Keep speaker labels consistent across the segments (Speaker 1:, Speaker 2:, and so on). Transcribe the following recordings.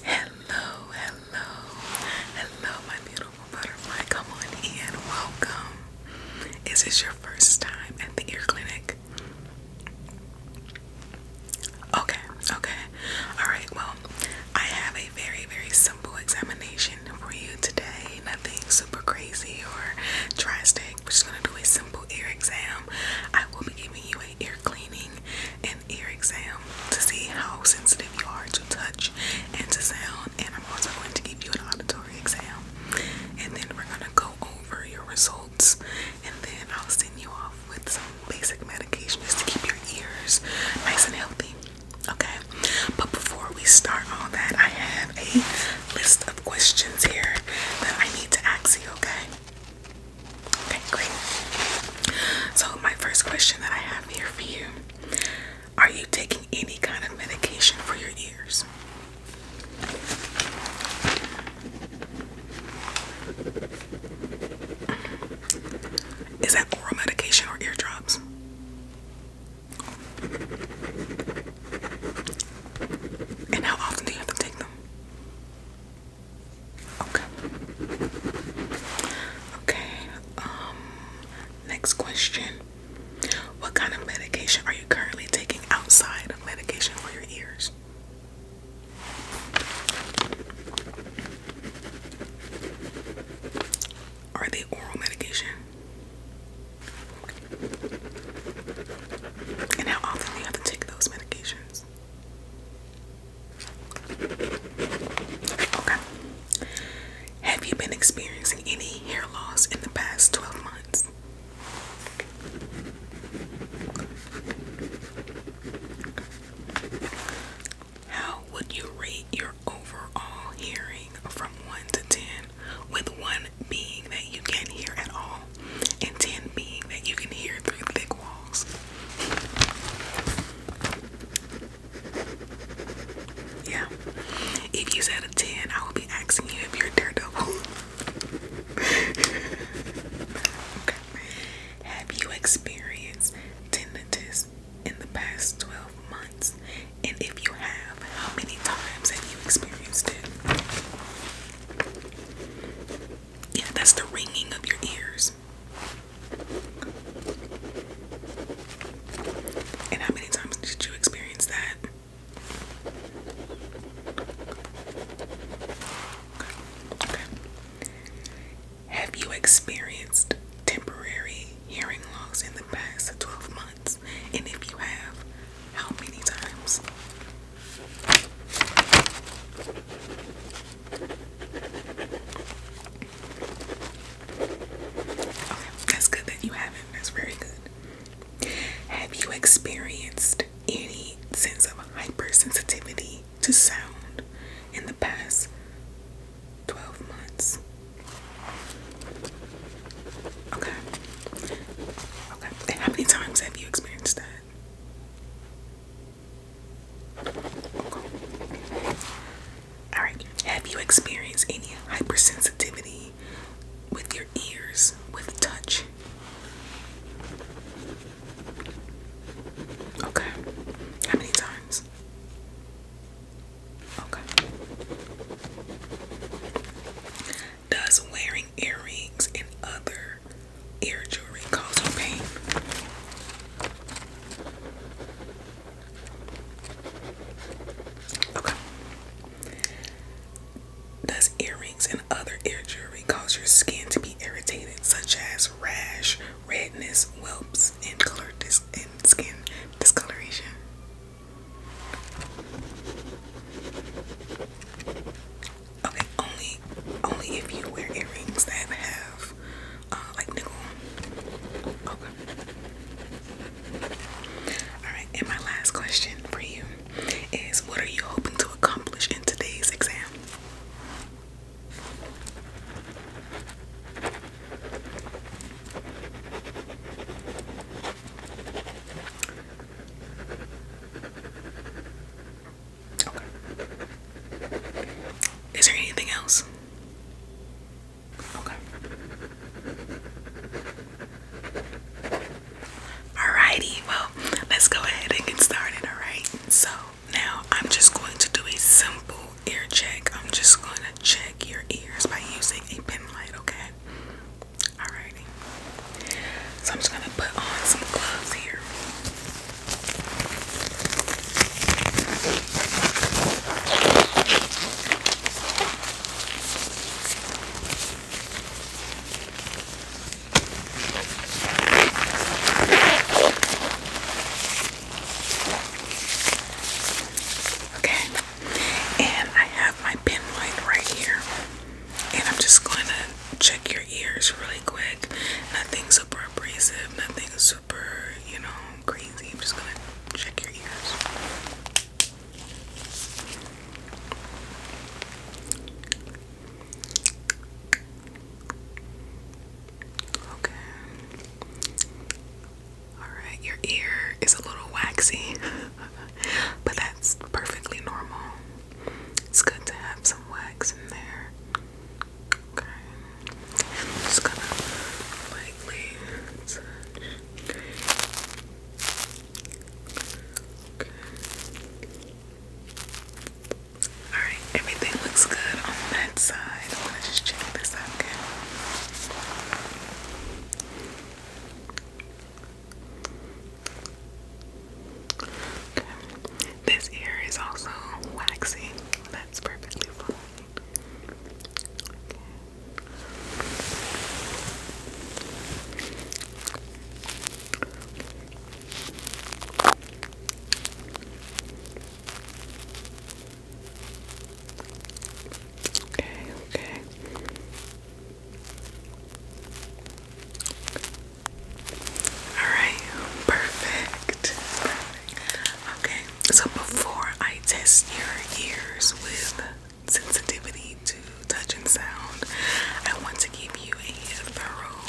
Speaker 1: Hello, hello, hello, my beautiful butterfly. Come on in. Welcome. Is this your first time at the ear clinic? Okay, okay. Alright, well, I have a very, very simple examination for you today. Nothing super crazy or drastic. We're just gonna do a simple ear exam. I will be giving you an ear cleaning an ear exam to see how sensitive you are to touch and to sound. And I'm also going to give you an auditory exam. And then we're going to go over your results. And then I'll send you off with some basic medication to keep your ears nice and healthy. Okay? But before we start all that, I have a list of questions here that I need to ask you, okay? Okay, great. So, my first question that I have here for you Are you taking any kind of medication for your ears? Is that oral medication or ear drops? And how often do you have to take them? Okay. Okay. Um next question. What kind of medication are you currently taking outside of medication for your ears? Are they oral medication? And how often do you have to take those medications? Okay. Have you been experiencing any hair loss in the past 12 months? How would you rate your overall hearing from 1 to 10, with 1 being that you can't hear at all and 10 being that you can hear through thick walls? Yeah. If you said a 10, I will be asking you if you're daredevil. okay. Have you experienced tinnitus in the past 12 months? And if you have, how many times have you experienced it? Yeah, that's the ringing of your ears. And how many times did you experience that? Have you experienced temporary hearing loss in the past 12 months? And if you have, how many times? that's good that you haven't. That's very good. Have you experienced any sense of hypersensitivity to sound in the past 12 months? Okay. Okay. how many times have you experienced that? All right. Have you experienced any hypersensitivity with your ears with touch? Okay. How many times? Okay. Does wearing earrings and other ear jewelry causing pain. Does earrings and other ear jewelry cause your skin to be irritated, such as rash, redness, welts, and color dis and skin discoloration? Okay, only only if you wear earrings that have uh, like nickel. Okay. Alright, and my last question for you is what are you hoping to accomplish in today's exam? Is there anything else? Okay. Alrighty, well, let's go ahead and get started, alright? So, now I'm just going to do a simple ear check. I'm just going to check your ears by using a pin light, okay? Alrighty. So, I'm just going to put on some gloves here. Okay, and I have my pen light right here, and I'm just going to check your ears really quick. Nothing super abrasive, nothing super, you know, crazy. I'm just gonna check your ears. Okay. Alright, your ear is a little waxy, but that's perfectly normal. It's good to have some wax in there. Okay. I'm just gonna lightly touch. Okay. Alright, everything looks good on that side. I'm check this out Okay. This ear is also waxy. That's perfectly fine. Okay, okay. Alright, perfect. Okay, so before I test your ears with sensitivity to touch and sound, I want to give you a thorough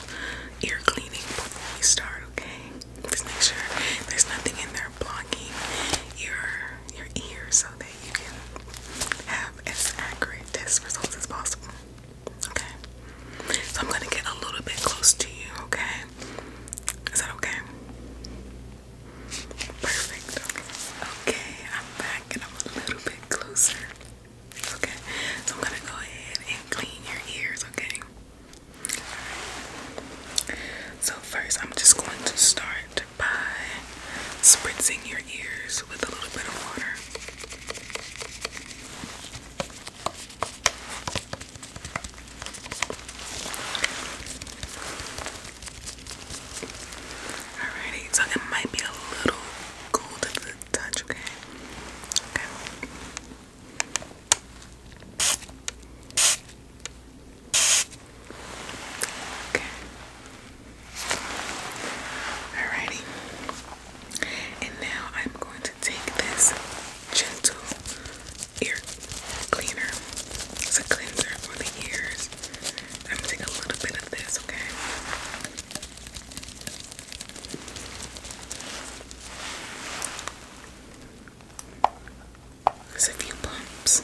Speaker 1: ear cleaning before we start, okay? Just make sure there's nothing in there blocking your your ears so that you can have as accurate test results as possible. Okay. So I'm gonna get a little bit close to you, okay? Is that okay? Perfect. Okay, I'm back and I'm a little bit closer. Okay. So I'm gonna go ahead and clean your ears, okay? So first I'm just going to start by spritzing your ears with a little bit of water. Alrighty, so it might be a little cool to the touch, okay? Okay. Okay. Alrighty. And now I'm going take this gentle ear cleaner. It's a cleanser for the ears. I'm gonna take a little bit of this, okay? There's a few pumps.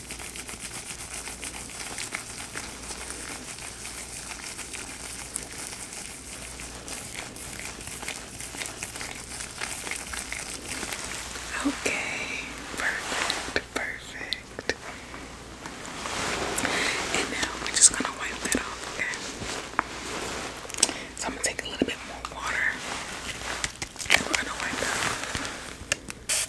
Speaker 1: Okay, perfect, perfect. And now we're just gonna wipe that off, So I'm gonna take a little bit more water and we're wipe that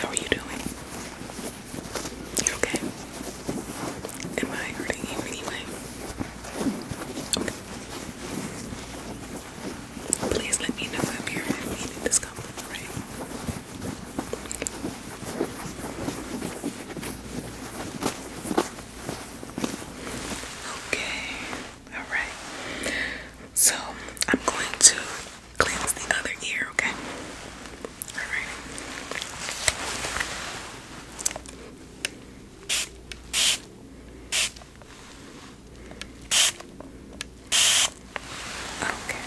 Speaker 1: How are you doing? You okay? Am I hurting you anyway? Okay. Please let me know if you're feeling discomfort, right? Okay. Alright. So I'm going to cleanse the other ear, okay? Alright. Okay.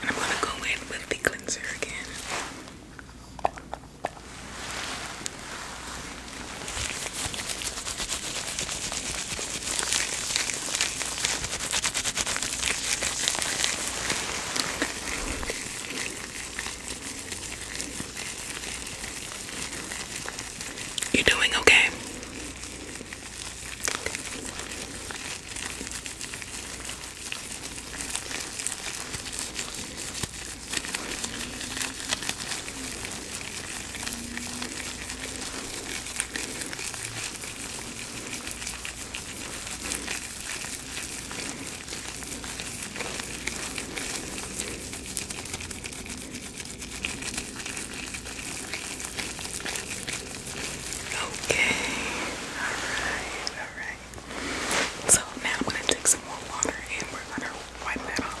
Speaker 1: And I'm gonna go in with the cleanser again. You doing okay? Okay, alright, alright. So now I'm going to take some more water and we're going to wipe that off.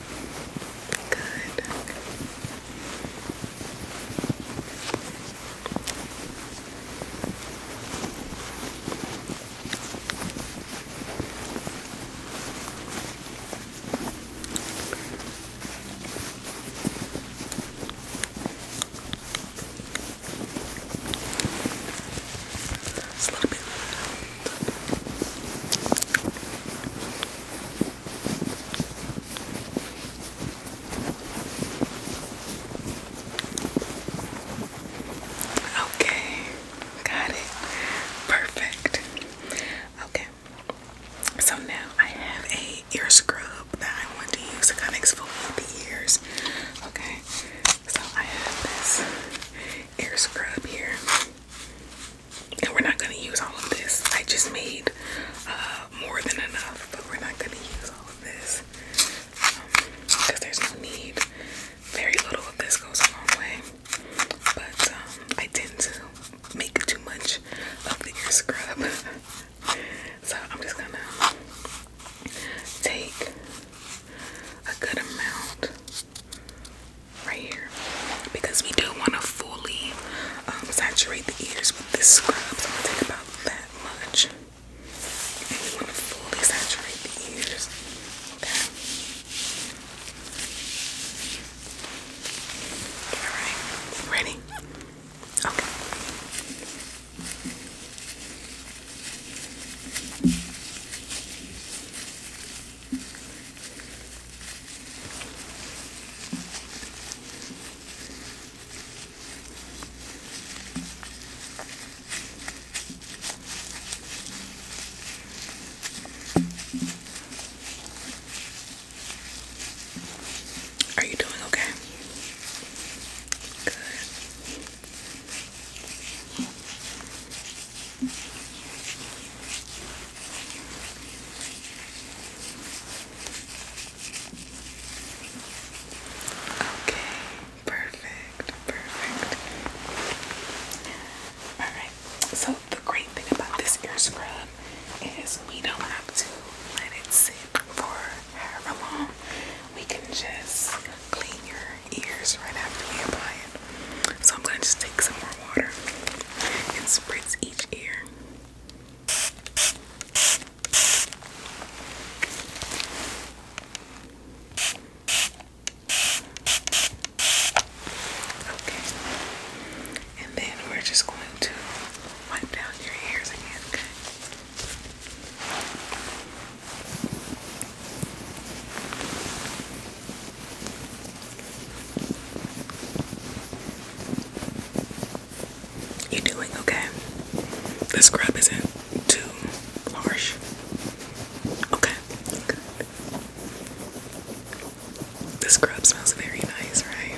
Speaker 1: Good. It's a little bit Okay, got it. Perfect. Okay, so now I have a ear scrub that I want to use to kind of exfoliate the ears. Okay, so I have this ear scrub here and we're not going to use all of this. I just made uh, more than enough, but we're not going to use all of this because um, there's no need. Very little of this goes a long way, but um, I tend to make too much of the ear scrub. so I'm just going to take a good amount right here because we do want to fully um, saturate the ears with this scrub. So I'm gonna take about that much, and we want to fully saturate the ears. Okay. All right. Ready? Okay. Are you doing okay? Good. Okay, perfect, perfect. Alright, so the great thing about this ear scrub is we don't have to let it sit for however long. We can just clean your ears right after we apply it. So I'm going to just take some more water and spritz each ear. Okay. And then we're just going to wipe down your ears again, you doing okay. The scrub isn't too harsh. Okay, The scrub smells very nice, right?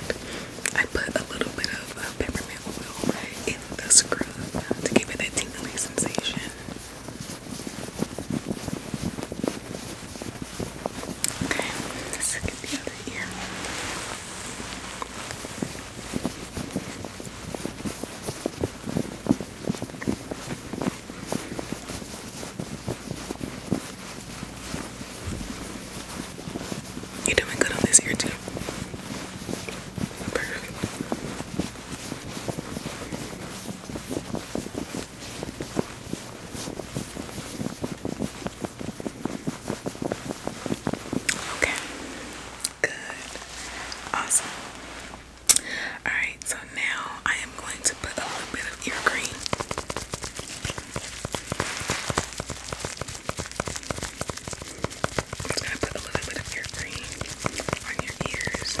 Speaker 1: I put a little bit of uh, peppermint oil in the scrub to give it that tingling sensation. Okay, let's get the other ear. You're doing good on this ear too. Perfect. Okay, good, awesome. Alright, so now I am going to put a little bit of ear cream. just going to put a little bit of ear cream on your ears.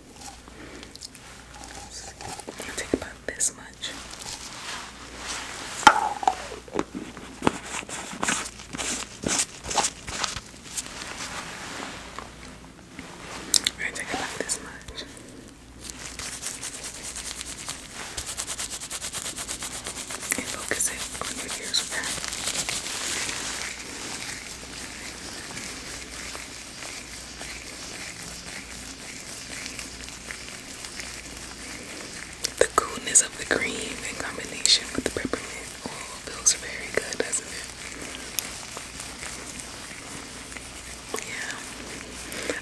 Speaker 1: I'll take about this much. We're take about this much. And focus on your ears with the coolness of the cream in combination with the peppermint oil feels very good, doesn't it? Yeah.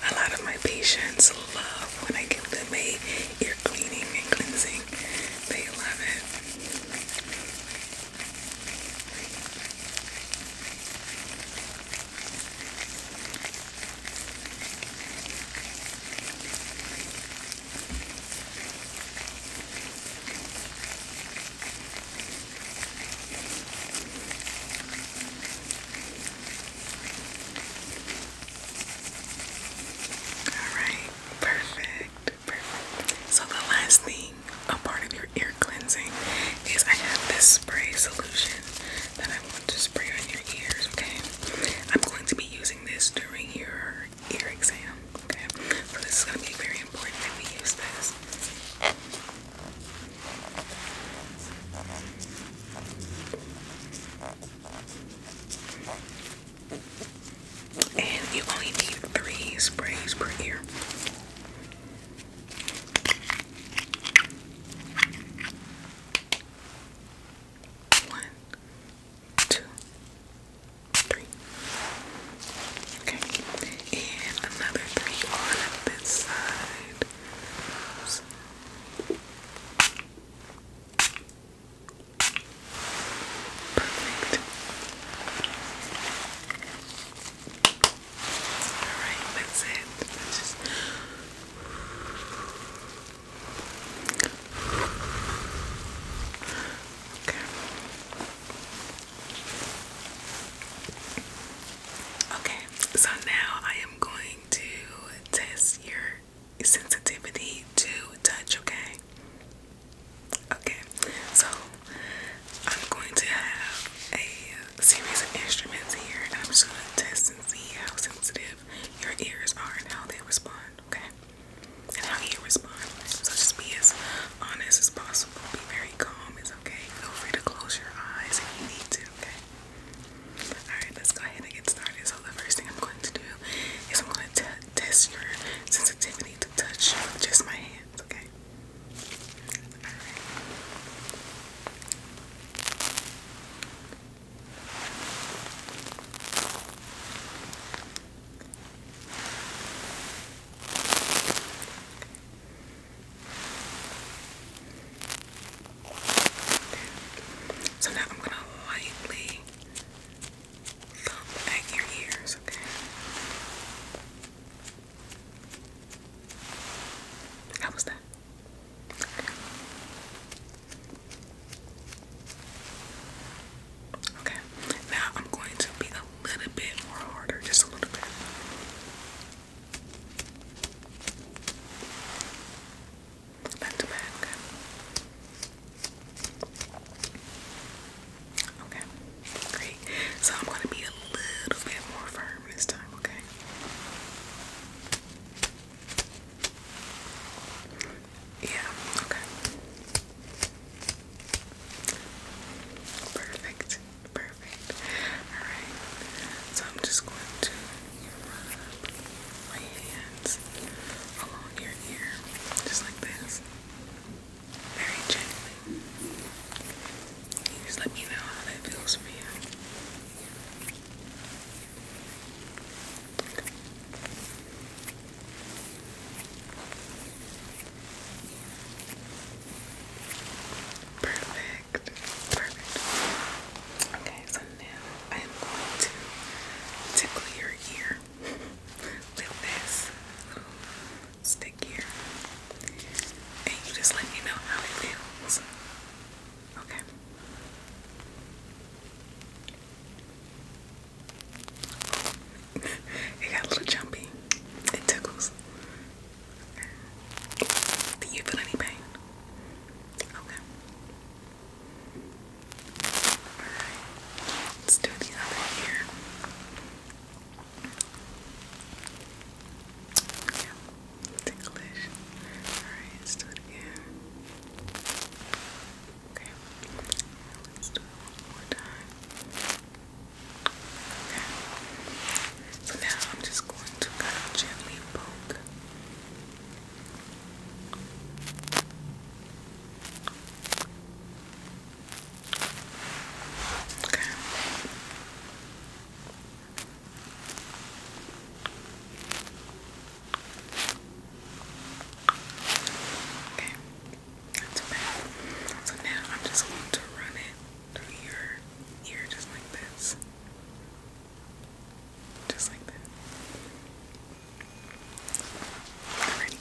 Speaker 1: A lot of my patients love when I give them a ear cleaning and cleansing. They love it. All right, perfect, perfect. So the last thing a part of your ear cleansing is I have this spray solution that I want to spray on your ears, okay? I'm going to be using this during your ear exam, okay? So this is going to be very important that we use this. And you only need three sprays per ear. One, two, three. Okay, and another three on this side. Perfect that's it. Okay, so now I am going to test your sensitivity to touch, okay? Okay, so I'm going to have a series of instruments here, and I'm just going to test and see how sensitive your ears are and how they respond, okay? And how you respond. So just be as honest as possible. Be very calm, it's okay. Feel free to close your eyes if you need to, okay? Alright, let's go ahead and get started. So, the first thing I'm going to do is I'm going to test your sensitivity to touch just my hand. So now I'm gonna lightly thump at your ears, okay? How was that? Okay. Now I'm going to be a little bit more harder, just a little bit. Back to back. Okay, great. So I'm gonna be a little bit more firm this time, okay? Yeah, okay. Perfect, perfect. Alright, so I'm just going to rub my hands along your ear, just like this very gently. just let me know how that feels for you. Perfect. Perfect. Okay, so now I am going to tickle your ear with this stickier. And you just let me know how it feels. Okay. it got a little jumpy. It tickles. Do you feel any pain? Okay. Alright. Let's do the other ear. Yeah, ticklish. Alright, let's do it again. Okay, let's do it one more time. Okay, so now I'm just going to kind of gently poke. Okay. Okay. Not too bad. So now I'm just going to run it through your ear just like this. Just like that. Alrighty.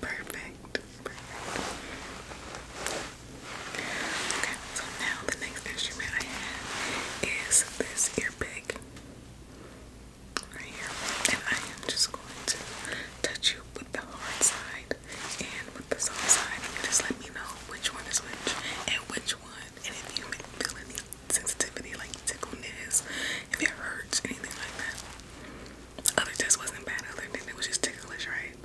Speaker 1: Perfect. Okay, so now the next instrument I have is this ear right here. And I am just going to touch you with the hard side and with the soft side. just let me know which one is which and which one. And if you feel any sensitivity, like tickleness, if it hurts, anything like that. Other test wasn't bad, other than it was just ticklish, right?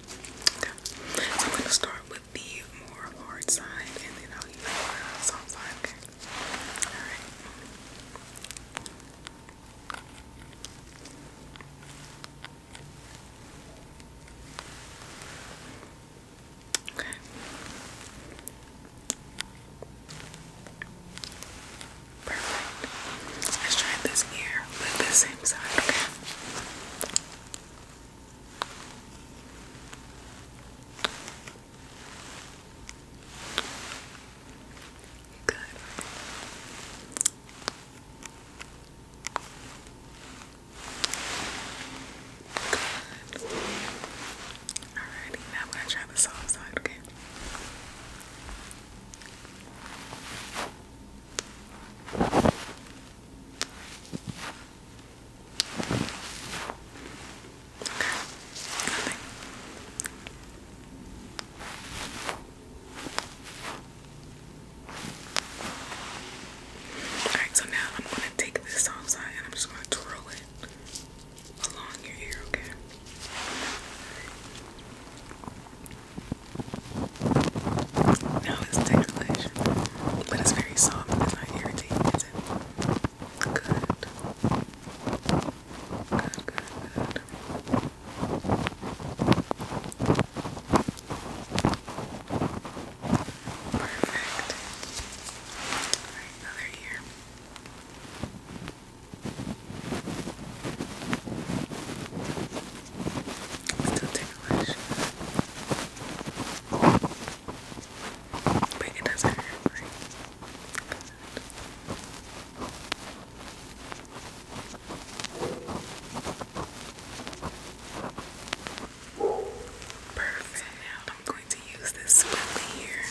Speaker 1: Okay. So I'm gonna start with the more hard side and then I'll use the soft side, okay? Alright. Perfect. Let's try this ear with this same side, okay? Good. Good. Alrighty, now I'm gonna try the soft side, okay? Alright, so now I'm gonna take this soft side and I'm just gonna twirl it along your ear, okay? Now it's tingling, but it's very soft. It's not irritating, is it? Good. Good, good, All right, another ear. Still ticklish. But it doesn't hurt, Perfect. now going to use this spoolie here.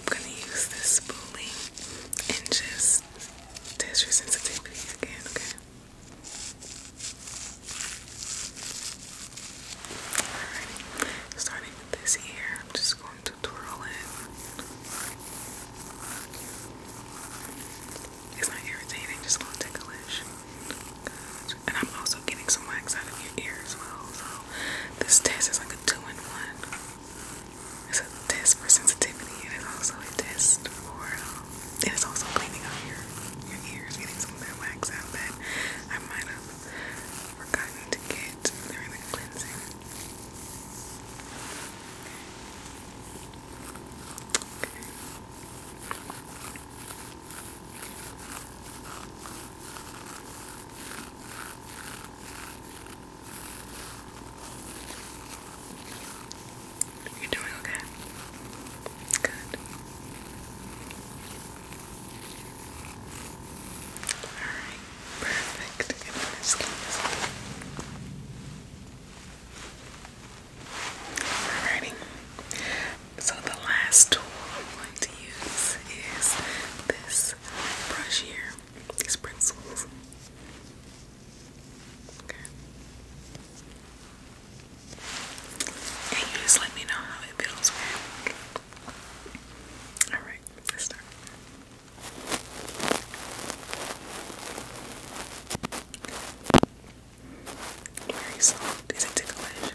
Speaker 1: I'm going to use this spoolie and just test your sensitivity again, okay? Alrighty. Starting with this ear, I'm just going to twirl it. It's not irritating, just a little ticklish. And I'm also getting some wax out of your ear as well. So this test is like a two in one. It's a test for sensitivity and it's also a test for, um, and it's also cleaning out your, your ears, getting some of that wax out that I might have forgotten to get during the cleansing. Okay. You're doing okay. Good. Alright, perfect. And this case. Alrighty. So the last tool I'm going to use is this brush here, these pencils. Okay. And you just let me know how it feels, okay? Alright, let's start. Very soft. Is it ticklish?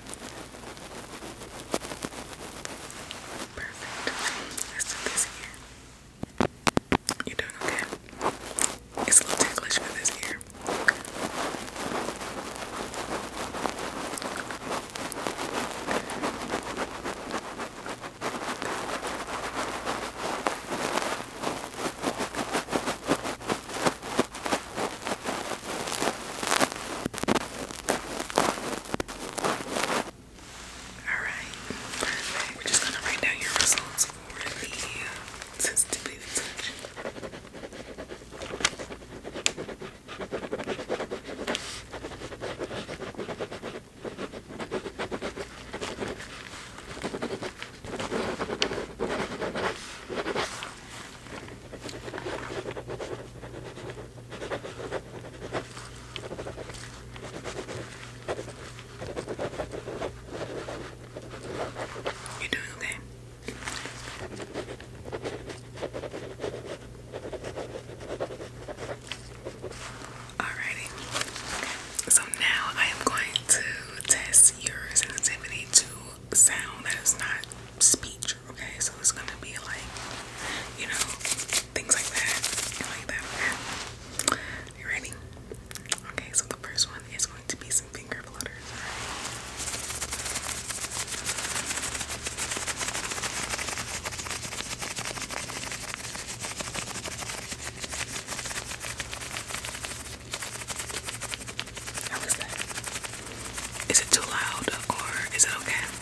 Speaker 1: Perfect. Let's do this ear. You're doing okay. It's a little ticklish for this ear. Alright, perfect. We're just gonna write down your results for the sensitivity to you doing okay? Alrighty. So now I am going to test your sensitivity to sound that is not speech okay? So it's gonna be like, you know, things like that, like that, okay? You ready? Okay, so the first one is going to be some finger flutters, alright? it too loud or is it okay?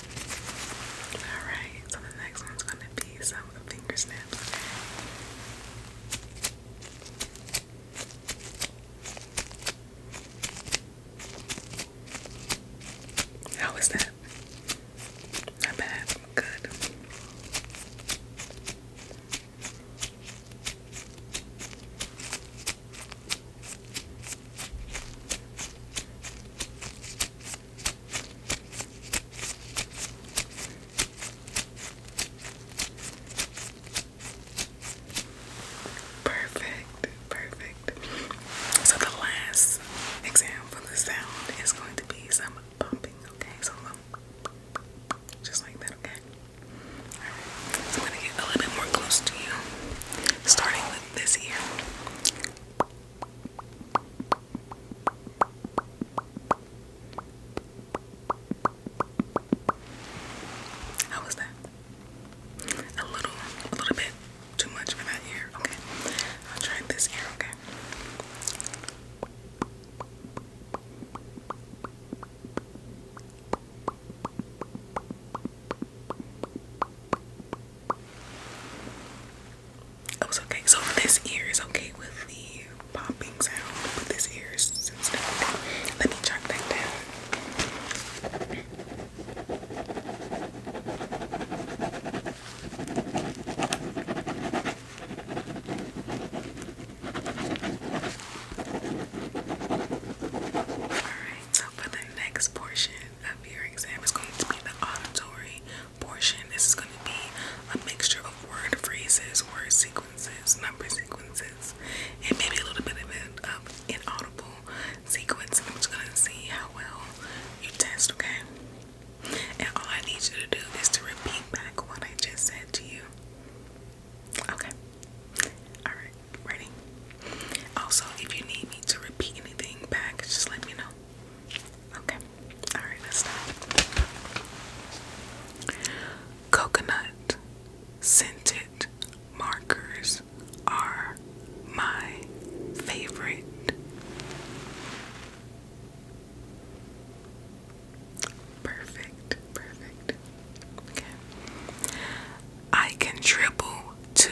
Speaker 1: Alright, so the next one's going to be some finger snaps, okay? How is that? Not bad. Good. Perfect, perfect. So, the last exam for the sound is going to be some bumping, okay? So, just like that, okay? I'm gonna get a little bit more close to you, starting with this year. How was that? A little, a little bit too much for that ear. Okay, I'll try this ear. Okay. Oh, it was okay. So this ear is okay with the popping sound, but this ear Let me jot that down. Alright, so for the next portion, of your exam is going to be the auditory portion. This is going to be a mixture of word phrases, word sequences, number sequences, and maybe a little bit of an um, inaudible sequence. I'm just going to see how well you test, okay? And all I need you to do is to repeat back what I just said to you. Okay. Alright. Ready? Also, if you need me to repeat anything back, just let me know. Okay. Alright, let's start. Coconut scented markers are my favorite. Perfect, perfect. Okay. I can triple two.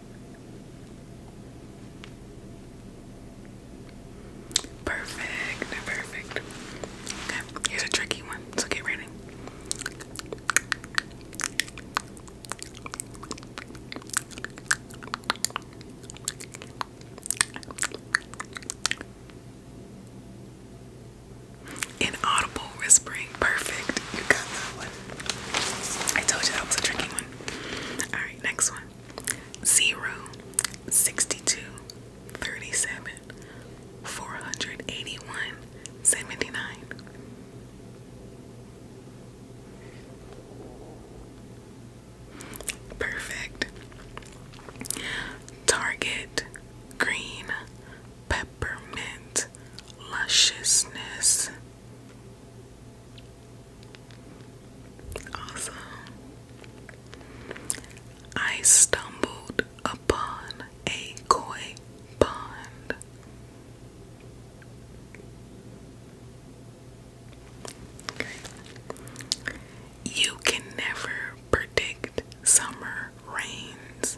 Speaker 1: Perfect, perfect. Okay, a tricky one, so get ready. Inaudible whispering, perfect. You got that one. I told you that was a tricky one. Alright, next one: zero sixty two thirty seven four hundred eighty one seventy nine. Perfect. Target, green, peppermint, lusciousness. Also, I stumbled upon a koi pond. You can never predict summer rains,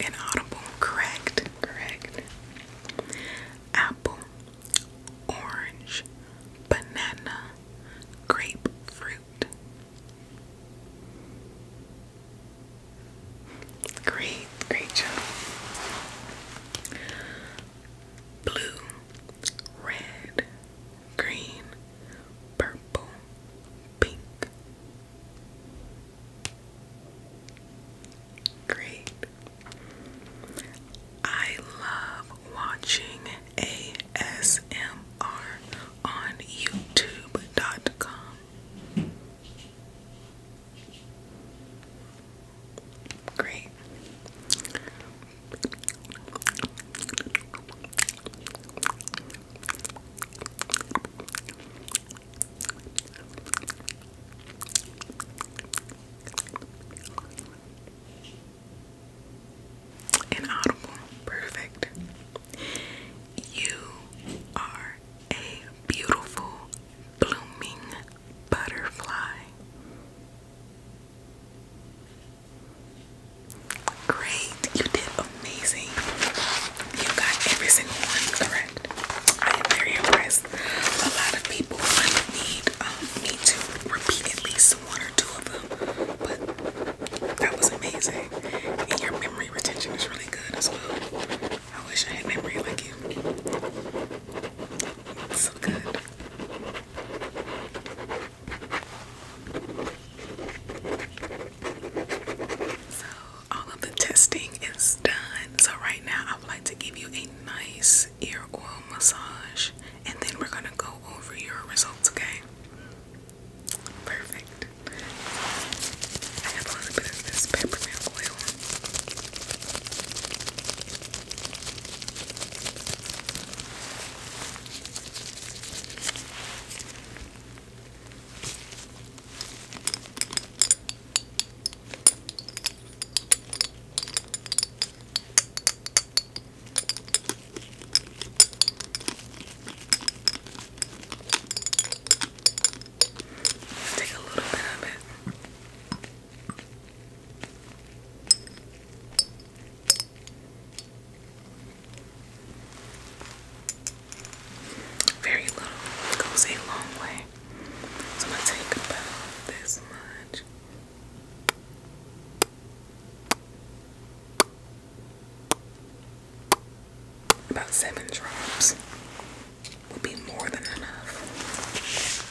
Speaker 1: Inaudible, correct, correct. Apple, orange, banana, grapefruit. Great, great job blue, red, green, purple, pink. Great. I love watching ASMR on YouTube.com. Great. Inaudible. Perfect. You are a beautiful blooming butterfly. Great, you did amazing. You got every single one correct. I am very impressed. A lot of people need me um, to repeat at least one or two of them, but that was amazing. And your memory retention is really good as well. I wish I had memory like you so good. So all of the testing is done. So right now I would like to give you a nice ear oil massage and then we're gonna go over your results, okay? Perfect. I have a little bit of this peppermint oil. Let's take a little bit of it. Very little goes a long way. So I'm gonna take about this much. About seven drops would be more than enough.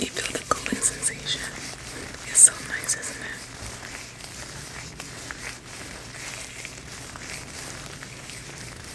Speaker 1: You feel the cooling sensation. It's so nice, isn't it?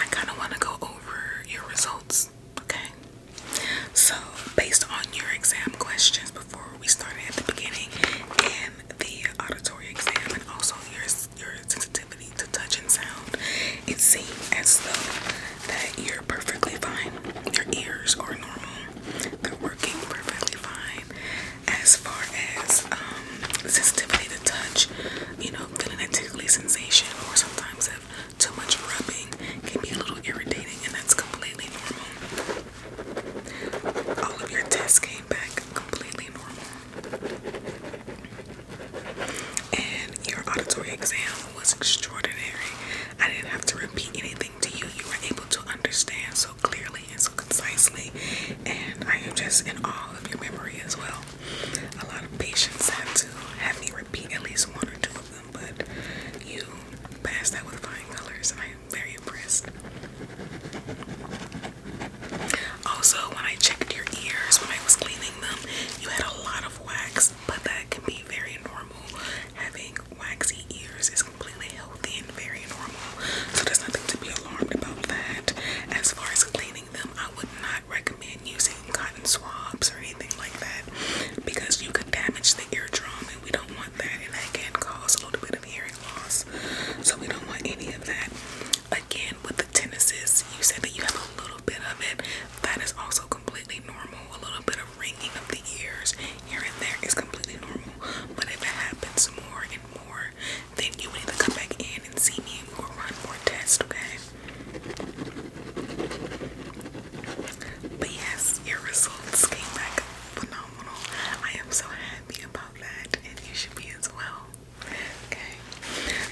Speaker 1: I kind of want to go over your results, okay? So, based on your exam questions before we started at the beginning and the auditory exam, and also your, your sensitivity to touch and sound, it seemed as though that you're perfectly fine. Your ears are normal, they're working perfectly fine. As far as um, sensitivity to touch, you know, feeling that tickly sensation or sometimes if too much rubbing can be a little irritating and that's completely normal. All of your tests came back completely normal. And your auditory exam was extraordinary. I didn't have to repeat anything to you. You were able to understand so clearly and so concisely. And I am just in awe of your memory as well a lot of patients have to have me repeat at least one or two of them, but you passed that with flying colors, and I am very impressed. Also, when I checked your ears when I was cleaning them, you had a lot of wax, but that can be very normal. Having waxy ears is completely healthy and very normal, so there's nothing to be alarmed about that. As far as cleaning them, I would not recommend using cotton swabs or anything like that because you could damage the eardrum and we don't want that and that can cause a little bit of hearing loss. So we don't want any of that. Again, with the tinnitus, you said that you have a little bit of it. That is also completely normal. A little bit of ringing of the ears here and there is completely normal. But if it happens more and more, then you would either come back in and see me and run more tests, okay? But yes, your results came back phenomenal. I am so happy about that, and you should be as well. Okay,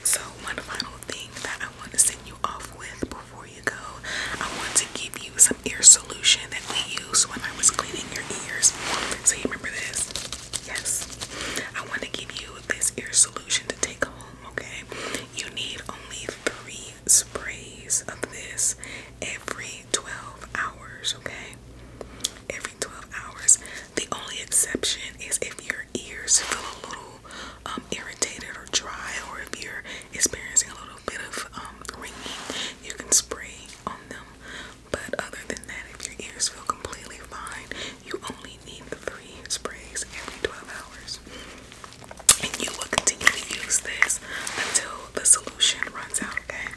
Speaker 1: so one final thing that I want to send you off with before you go, I want to give you some ear solution that we used when I was cleaning your ears. So, you remember this? Yes. I want to give you this ear solution to take home, okay? You need only three sprays of this every 12 hours, okay? Every 12 hours. The only exception is if your ears feel a little um, irritated or dry, or if you're experiencing a little bit of um, ringing, you can spray on them but other than that, if your ears feel completely fine, you only need the three sprays every 12 hours. And you will continue to use this until the solution runs out, okay?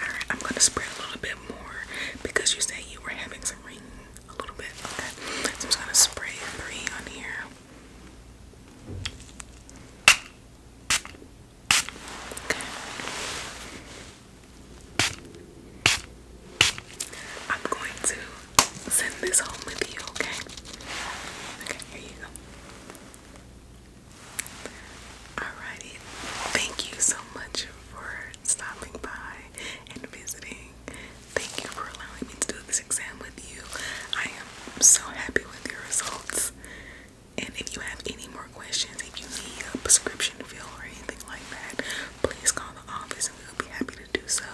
Speaker 1: Alright, I'm gonna spray a little bit more because you said you were having some ringing a little bit, okay? So I'm just gonna spray three on here. I'm going to send this home with you, okay? Okay, here you go. Alrighty, thank you so much for stopping by and visiting. Thank you for allowing me to do this exam with you. I am so happy with your results. And if you have any more questions, if you need a prescription fill or anything like that, please call the office and we'll be happy to do so.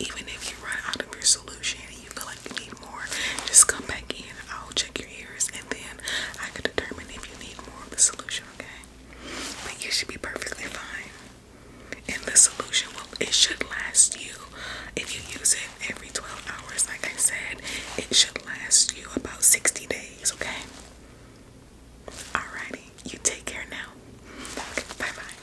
Speaker 1: Even if you run out of your solution and you feel like you need more, just come back in. I'll check your ears and then I can determine if you need more of the solution, okay? But you should be perfectly fine. And the solution will it should last you if you use it every 12 hours, like I said, it should last you about 60 days, okay? Alrighty, you take care now. Bye bye.